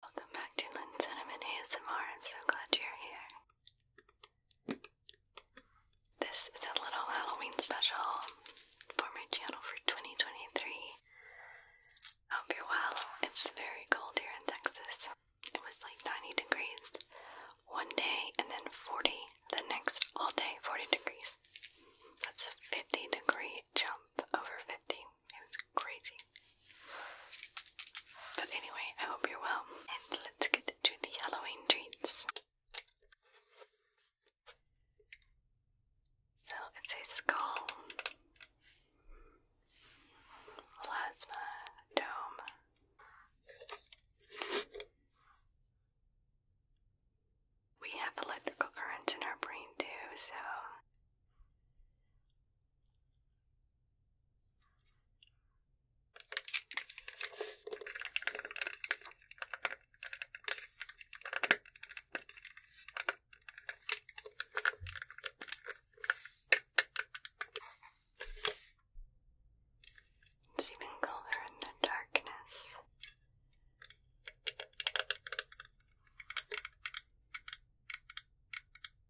Welcome back to Lynn Cinnamon ASMR. I'm so glad you're here. This is a little Halloween special for my channel for 2023. I hope you're well. It's very cold here in Texas. It was like 90 degrees one day and then 40 the next all day, 40 degrees. That's a 50 degree jump over 50. It was crazy. But anyway, I hope you're well, and let's get to the Halloween treats. So it's a skull, plasma dome. We have electrical currents in our brain too, so it's even colder in the darkness.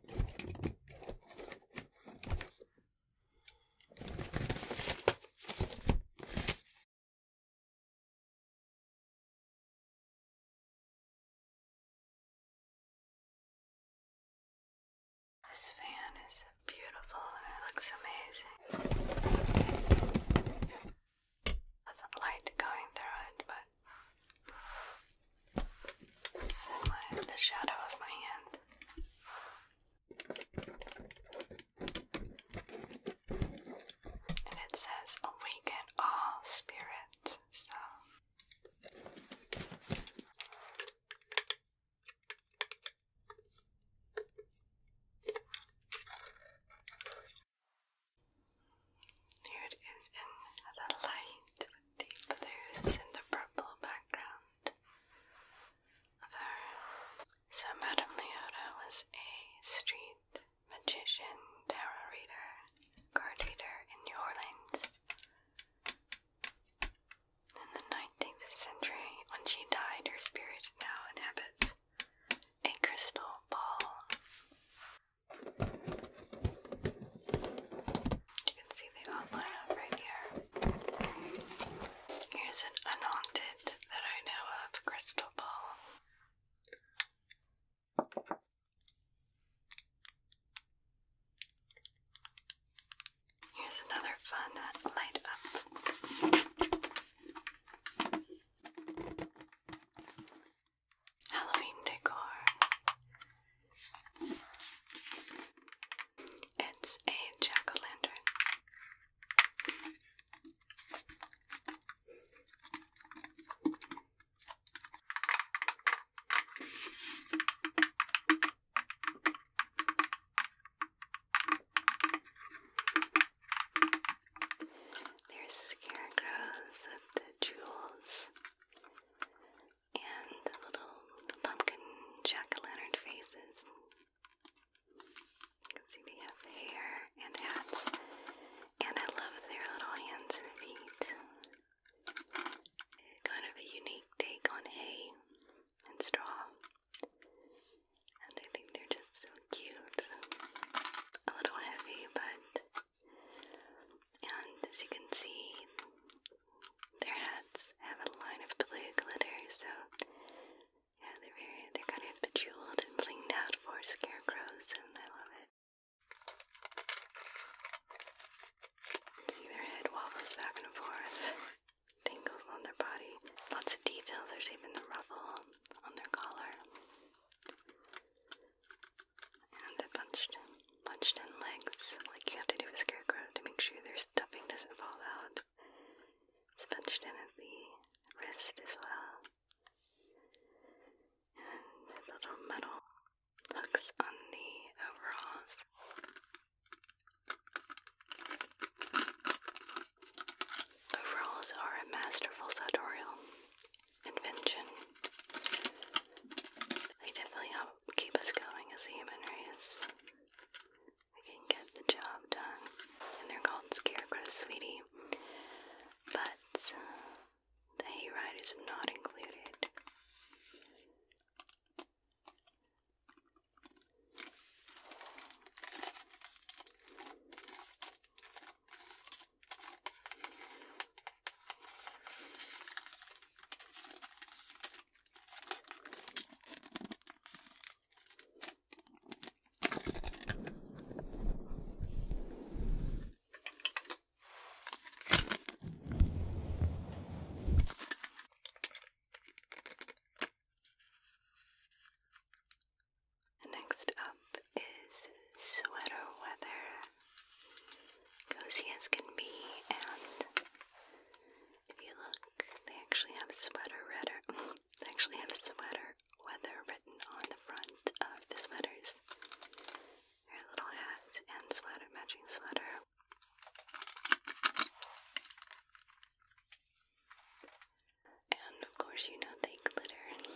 This fan is beautiful and it looks amazing. With light going through it, but the shadow of my hand. And it says awaken all spirits." So it is in the light with the blues and the purple background So Madame Leota was a street magician, tarot reader, card reader in New Orleans. In the 19th century, when she died, her spirit now inhabits a crystal ball. You can see the outline of right here. Here's an unhaunted that I know of crystal ball. Here's another fun light up. Halloween decor. It's a jack o' lantern. There's scarecrows with the jewels and the little pumpkin jack-o'-lantern faces. You can see they have hair and hats, and I love their little hands and feet. Kind of a unique take on hay and straw, and I think they're just so cute. A little heavy, but and as you can see, their hats have a line of blue glitter, so yeah, they're very, they're kind of jeweled and blinged out for scarecrows, and I love it. See their head wobbles back and forth, tingles on their body. Lots of detail. There's even the ruffle on their collar and the punched, punched in legs, like you have to do with scarecrow to make sure their stuffing doesn't fall out. It's punched in at the wrist as well. And little metal hooks on the overalls. Overalls are a masterful sartorial invention they definitely help keep us going as a human race. We can get the job done. And they're called scarecrows, sweetie. But uh, the hayride is not included. Next up is Sweater Weather cozy as can be, and if you look, they actually have sweater redder. sweater weather written on the front of the sweaters. little hat and sweater, matching sweater. And of course, you know they glitter.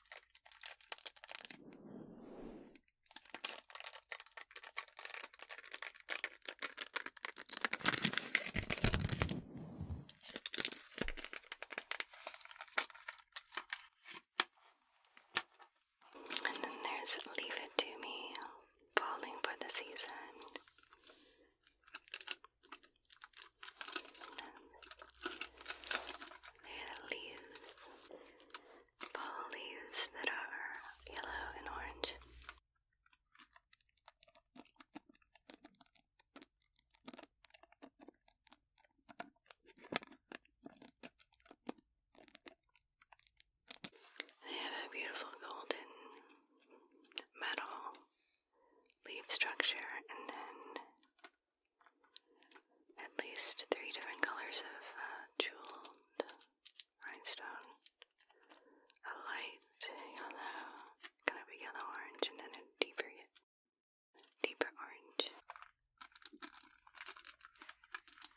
And then there's Leave It To Me, Falling for the Season. They're leaves, fall leaves that are yellow and orange. They have a beautiful golden metal leaf structure and then at least three different colors of uh, jeweled rhinestone. A light yellow, kind of a yellow orange, and then a deeper, deeper orange.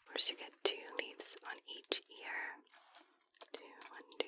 First, you get two leaves on each ear. Two, one, two.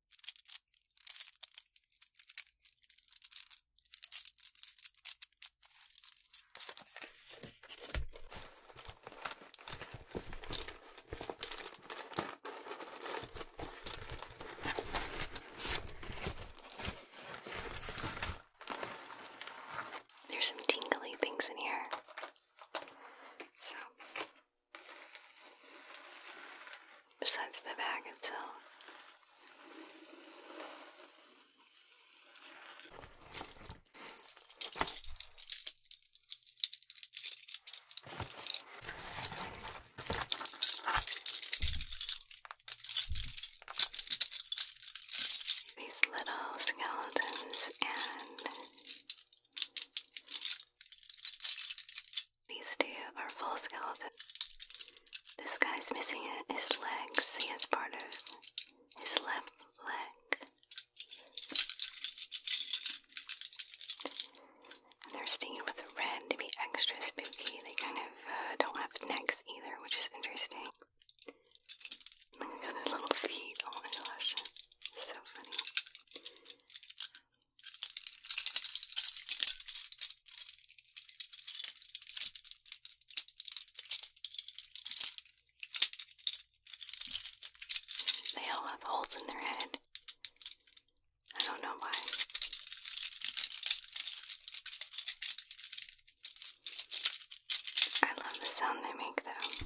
There's some tingly things in here. So, besides the bag itself, these little skeletons and these two are full skeletons. This guy's missing his legs. He has part of his left leg. they're stained with red to be extra spooky. They kind of uh, don't have necks either, which is interesting. Look at the little feet. Oh my gosh. So funny. They all have holes in their head. I don't know why. I love the sound they make, though.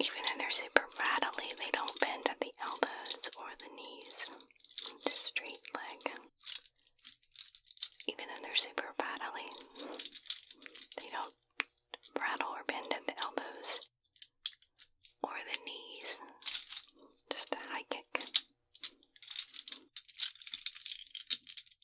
Even though they're super rattly, they don't bend at the elbows or the knees. straight leg. Even though they're super rattly, they don't rattle or bend at the elbows or the knees. Just a high kick.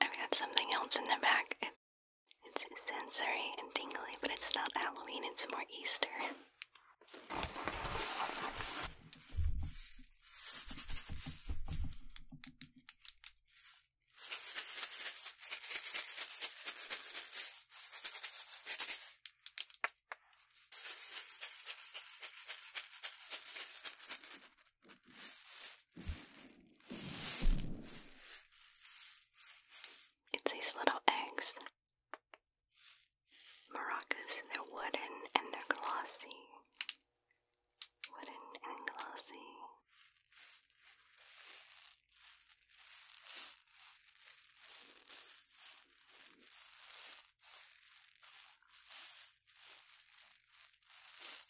I've got something else in the back. it's sensory and tingly, but it's not Halloween, it's more Easter. It's these little eggs. Maracas, they're wooden and they're glossy. Wooden and glossy.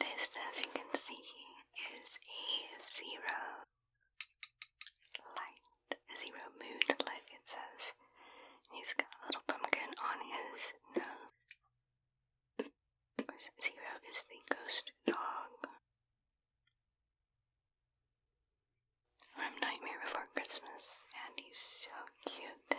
This, as you can see, is a zero light, zero mood light it says. He's got a little pumpkin on his nose. zero is the ghost dog. From Nightmare Before Christmas, and he's so cute.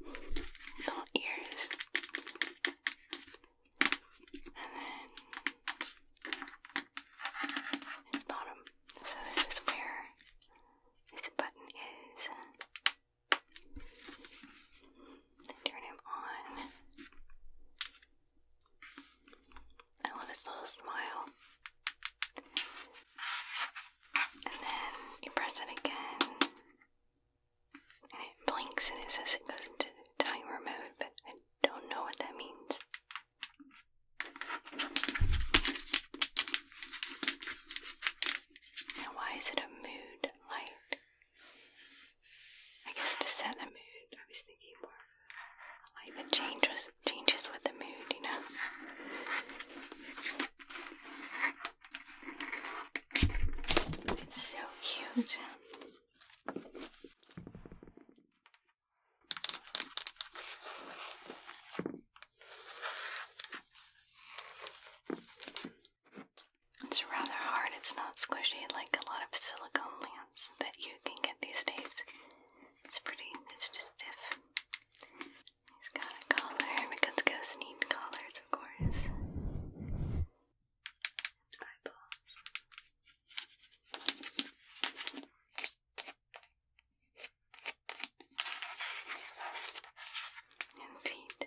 little ears. And then its bottom. So this is where this button is. Turn him on. I love his little smile. And then you press it again. And it blinks and it says it goes into timer mode, but I don't know what that means. why is it a mood light? I guess to set the mood. I was thinking more like the changes changes with the mood, you know. It's so cute. It's rather hard, it's not squishy like a lot of silicone lamps that you can get these days. It's pretty, it's just stiff. He's got a collar because ghosts need collars, of course. eyeballs. And feet.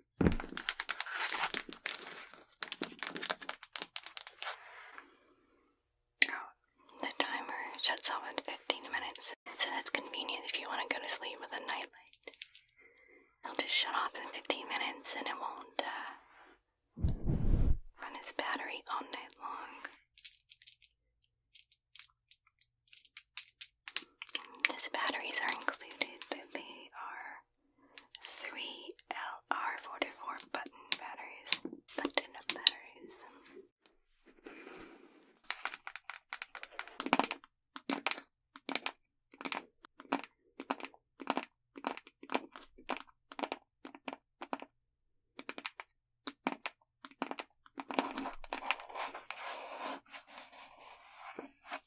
Oh, the timer shuts off in 15 minutes, so that's convenient if you want to go to sleep with a nightlight. It'll just shut off in 15 minutes and it won't uh, run its battery all night long. These batteries are included. They are three LR44 button batteries. Button batteries.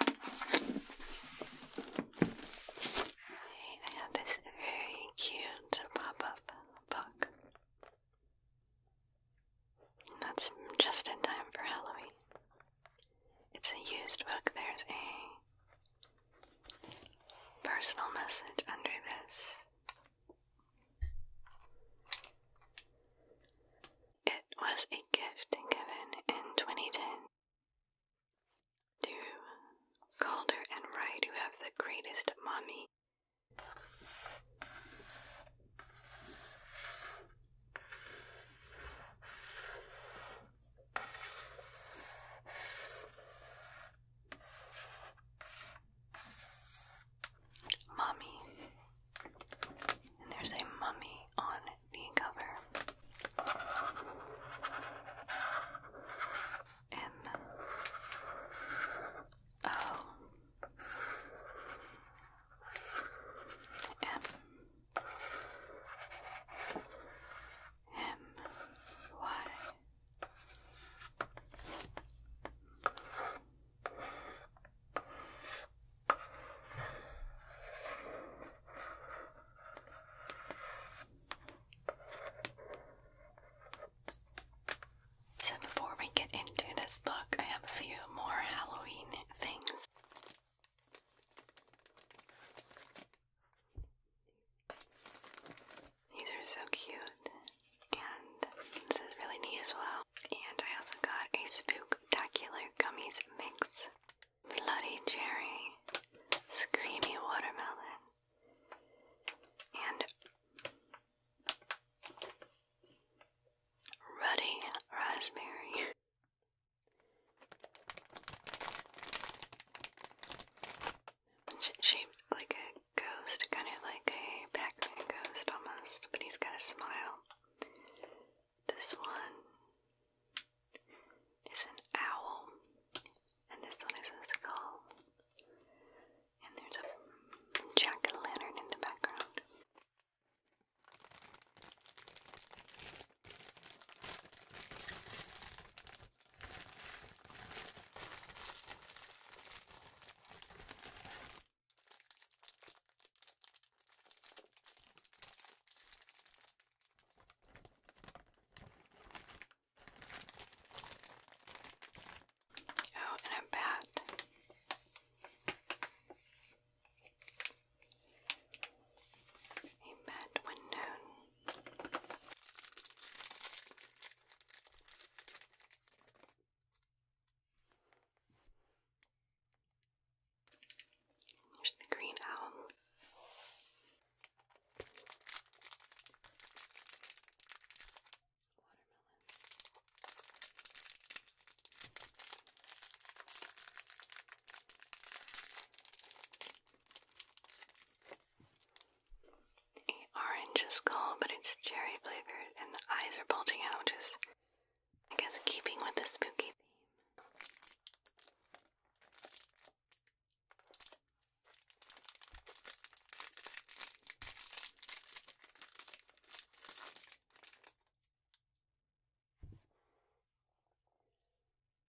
I have this very cute pop-up book. that's just in time for Halloween. It's a used book. There's a personal message under this. It was a gift given in 2010 to Calder and Wright, who have the greatest mommy. Mommy. And there's a mummy on the cover M O M M Y so, before we get into this book, I have a few more Halloween things. These are so cute, and this is really neat as well. And I also got a spooktacular gummies mix. Bloody Cherry, Screamy Watermelon, and Ruddy Raspberry. shaped like a ghost, kind of like a Pac Man ghost almost, but he's got a smile. This one is an owl, and this one is a skull. And there's a jack o' lantern in the background. Oh, and a bat. A bat when known. There's the green owl. Watermelon. The orange is but it's cherry flavored, and the eyes are bulging out, which I guess, keeping with the spooky theme.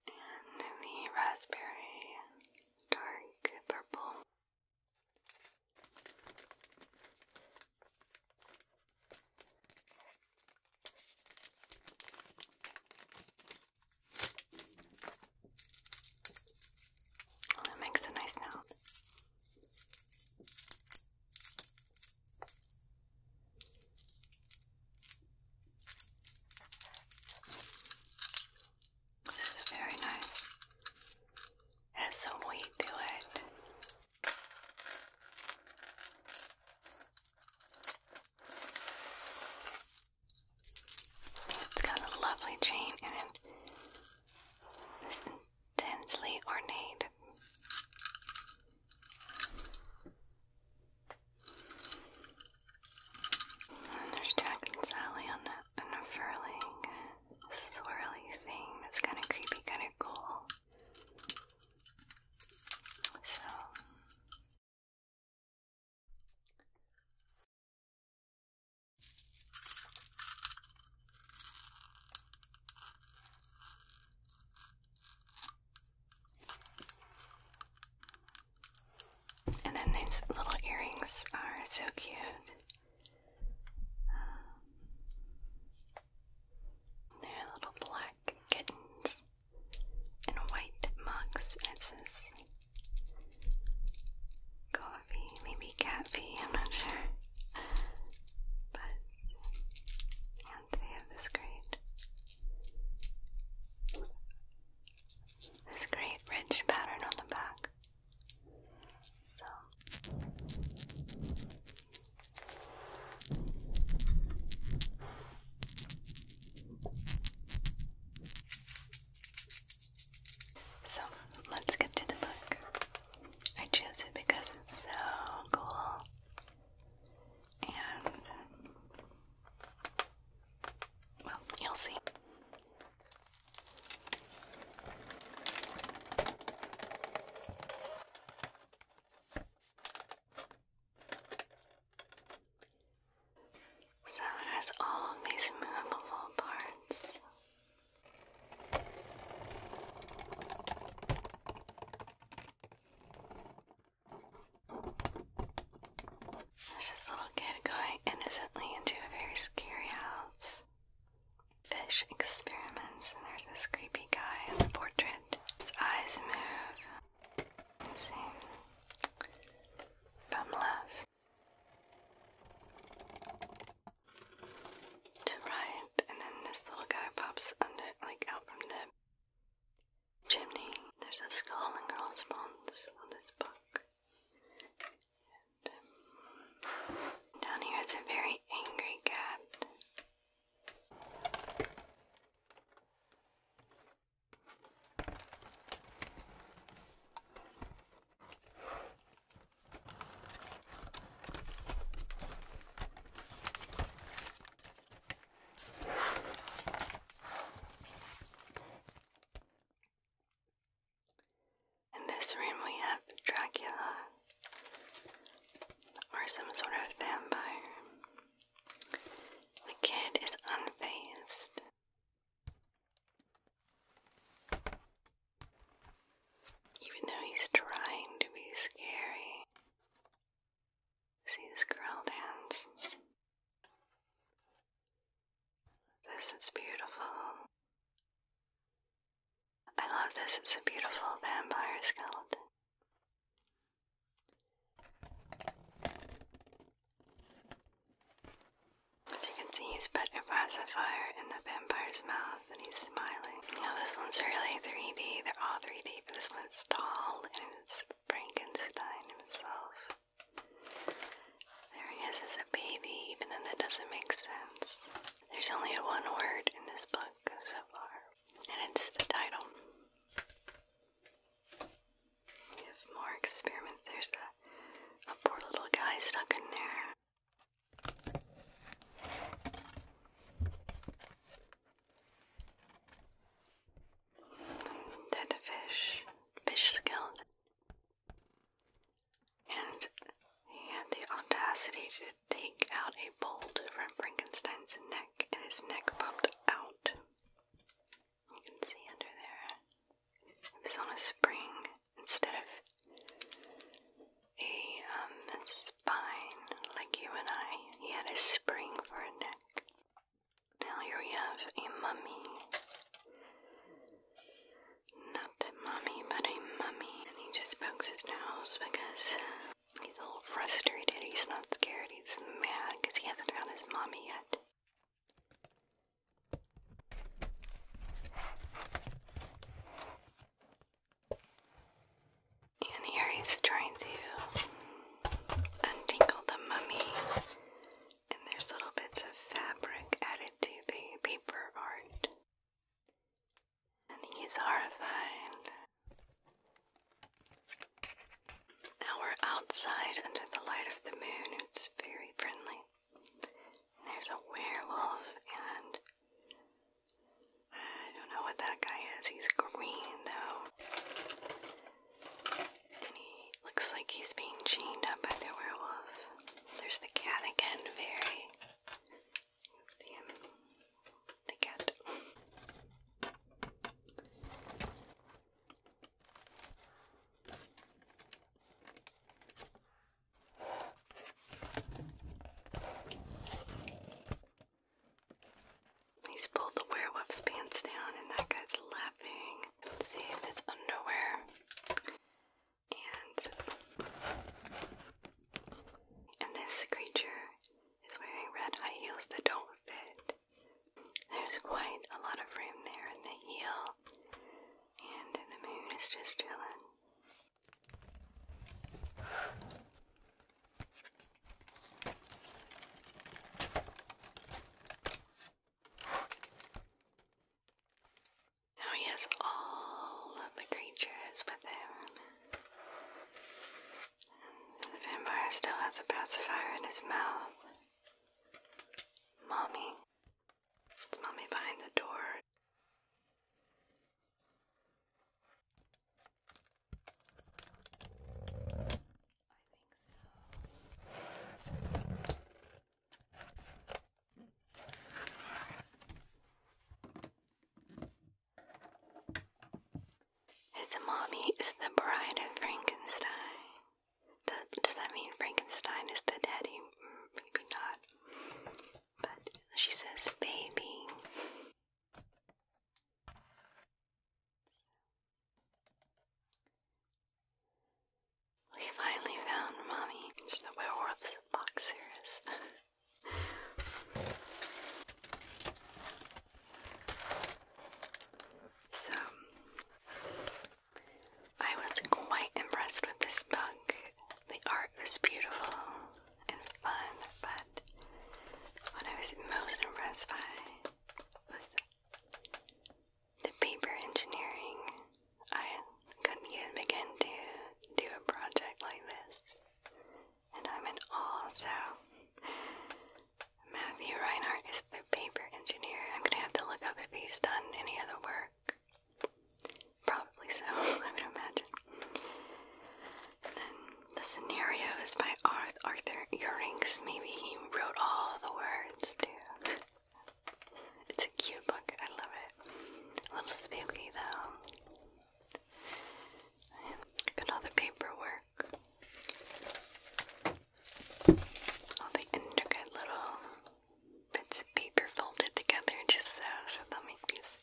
And the raspberry dark purple. Oh, it makes a nice sound. This is very nice. has some weight to it. It's got a lovely chain and it's intensely ornate. there's Jack and on the on swirly thing. That's kind of creepy, kind of cool. So and then these little earrings are so cute. they're little black kittens in white mugs. It says coffee, maybe cat fee, I'm not sure. But, they have this great, this great ridge pattern on the back. So. So let's get to the book. I chose it because it's so cool and well, you'll see. So it has all of these movable parts. this little kid going innocently into a very scary house. Fish experiments, and there's this creepy guy in the portrait. His eyes move, same from left to right, and then this little guy pops under, like out from the chimney. There's a skull and crossbones on this book. Um, down here is a very angry cat. In this room, we have Dracula, or some sort of vampire. The kid is unfazed. Even though he's trying to be scary. See his curled hands. This is beautiful. I love this. It's a beautiful vampire skeleton. As you can see, he's put a pacifier in the vampire's mouth and he's smiling. Now, this one's really 3D. They're all 3D, but this one's tall and it's Frankenstein himself. There he is as a baby, even though that doesn't make sense. There's only a one word in this book so far, and it's the title. We have more experiments. There's a, poor little guy stuck in there. Dead fish, fish skeleton. And he had the audacity to take out a bolt from Frankenstein's neck, and his neck popped out. You can see under there. It was on a spring instead of um, a spine like you and I. He had a spring for a neck. Now here we have a mummy. Not mummy, but a mummy. And he just pokes his nose because he's a little frustrated. He's not scared. He's mad because he hasn't found his mommy yet. And here he's trying to untangle the mummy, and there's little bits of fabric added to the paper art. And he's horrified. Now we're outside under the light of the moon. It's very friendly. There's a werewolf, and I don't know what that guy is. He's green, though. And he looks like he's being chained up by the werewolf. There's the cat again, very. Um, the, cat. He's pulled the werewolf's pants down, and that guy's laughing. Let's see if it's underwear. And and this creature is wearing red high heels that don't fit. There's quite a lot of room there in the heel, and the moon is just chilling. Now he has all of the creatures with him. And the vampire still has a pacifier in his mouth. Mommy. It's Mommy behind the door. I think so. His mommy is the bride of Frankenstein does that mean Frankenstein is the daddy? Mm, maybe not. But she says, baby. We finally found mommy. the werewolf's box So, I was quite impressed with this book. The art was beautiful and fun, but what I was most impressed by was the paper engineering. I couldn't even begin to do a project like this, and I'm in awe, so Matthew Reinhardt is the paper engineer. I'm gonna have to look up if he's done any other work. Probably so, I would imagine. And then the scenario is by Arthur Eurinks. Maybe he wrote all the words too. It's a cute book, I love it. A little spooky though. Look paperwork all the intricate little bits of paper folded together just so, so they make these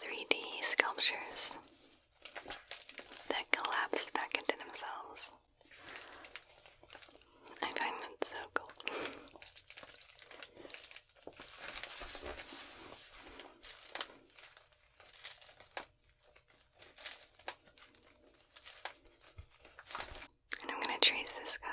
3D sculptures that collapse back into themselves. I find that so cool. And I'm going to trace this guy.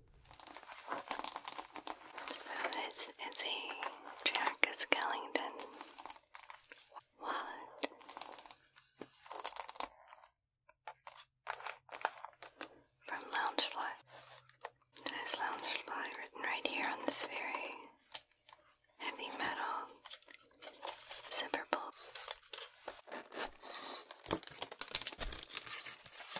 So this is a Jack Skellington wallet. From Loungefly. There's Loungefly written right here on this very heavy metal zipper bolt.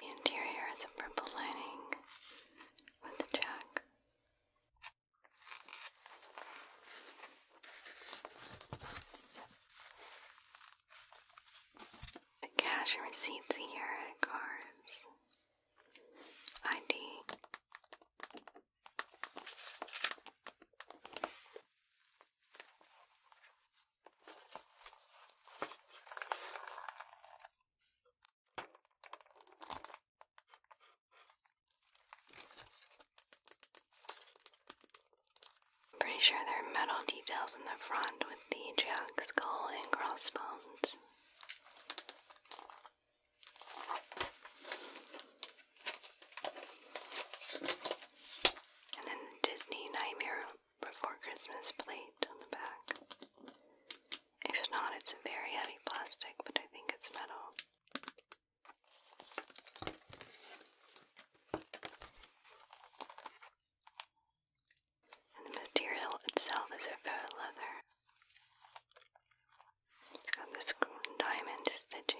The interior is a purple lining with the jack. The cash receipts here at Cars. ID. Pretty sure there are metal details in the front with the jack skull and crossbones. And then the Disney Nightmare Before Christmas plate on the back. If not, it's a very heavy plastic, but I think it's metal. And the material itself is a faux leather. It's got this diamond stitching.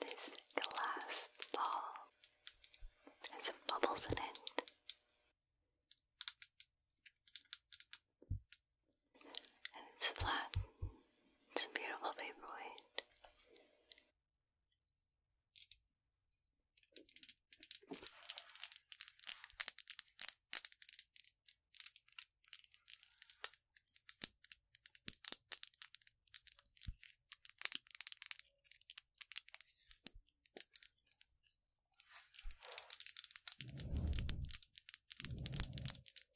This glass ball has some bubbles in it and it's flat. It's a beautiful paperweight.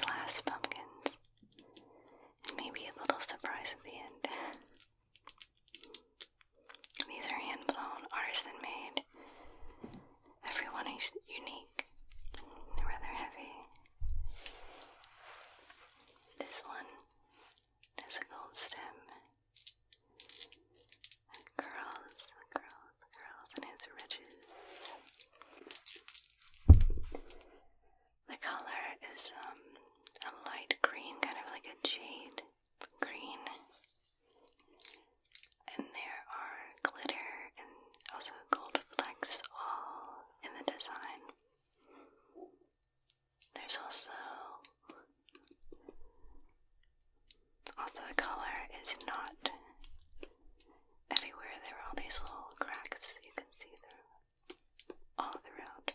glass pumpkins, and maybe a little surprise at the end. These are hand blown, artisan made. Every one is unique, They're rather heavy. This one has a gold stem. It curls, earth and its riches. The color is um, a light green, kind of like a jade green. And there are glitter and also gold flecks all in the design. There's also also, the color is not everywhere. There are all these little cracks that you can see through all throughout.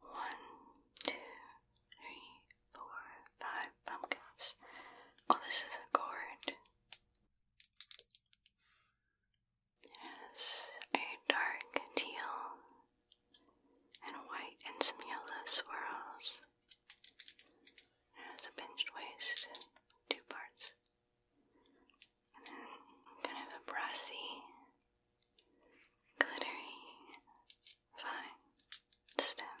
One, two, three, four, five pumpkins. Oh, this is a gourd has a dark teal and white and some yellow swirls. It has a pinched waist in two parts. And then kind of a brassy, glittery, fine stem.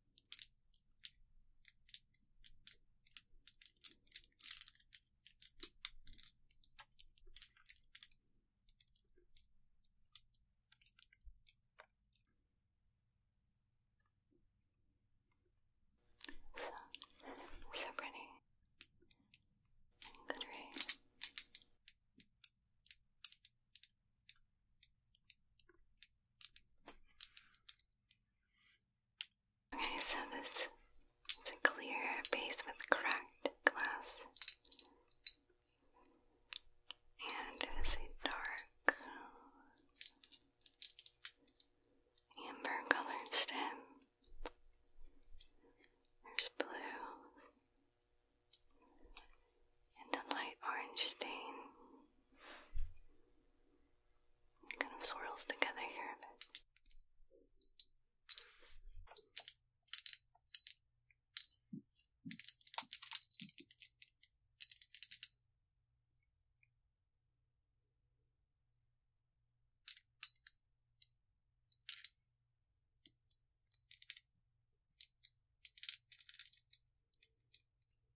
So, so pretty. Good rain. Okay, so this is a clear base with cracked glass. And it is a dark amber colored stem. There's blue and a light orange stain. kind of swirls together here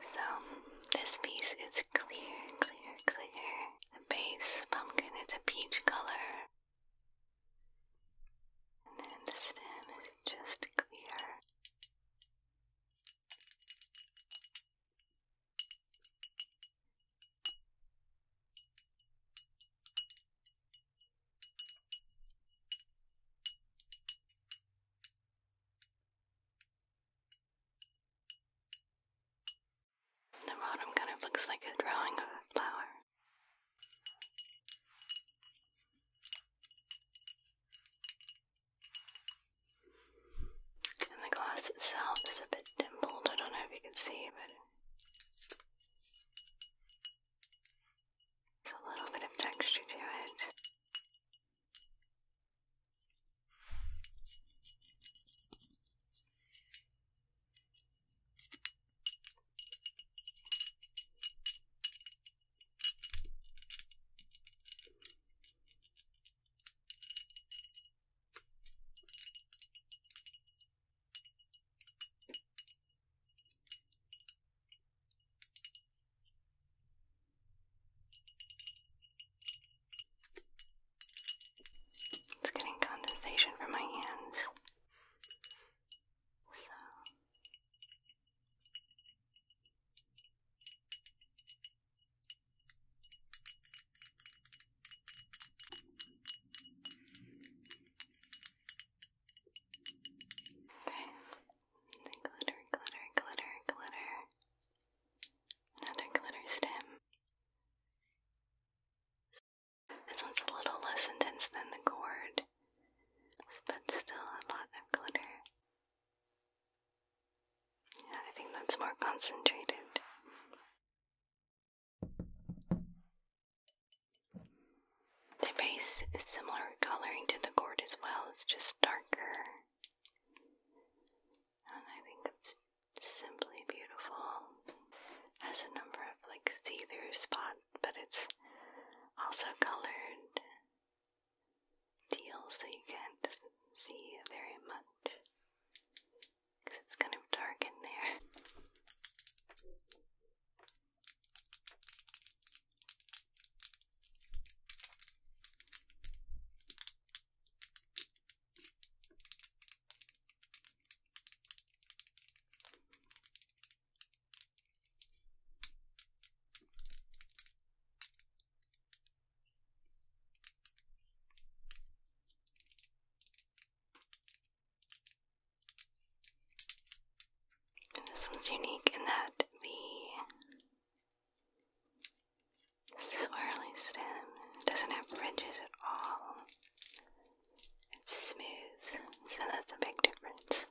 So this piece is clear, clear, clear. The base pumpkin, it's a peach color. And then the stem is just clear. The bottom kind of looks like a drawing of a flower. And the glass itself is a bit dimpled. I don't know if you can see, but it's a little bit of texture to it. It's getting condensation from my hands. So Okay. glitter, glitter, glitter, glitter. Another glitter stem. This one's a little less intense than the gourd, but still a lot of glitter. I think that's more concentrated. The base is similar coloring to the gourd as well, it's just darker. And I think it's simply beautiful. Has a number of like see-through spots but it's also colored teal, so you can't see very much because it's kind of dark in there this one's unique in that the swirly stem doesn't have ridges at all. It's smooth, so that's a big difference.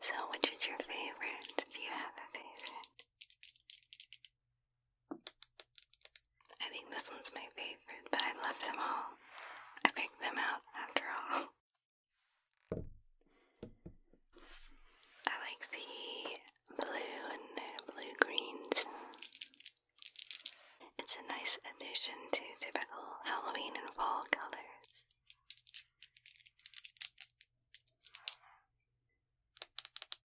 So, which is your favorite? Do you have a favorite? I think this one's my favorite, but I love them all. I picked them out after all. I like the blue and the blue greens. It's a nice addition to typical Halloween and fall colors.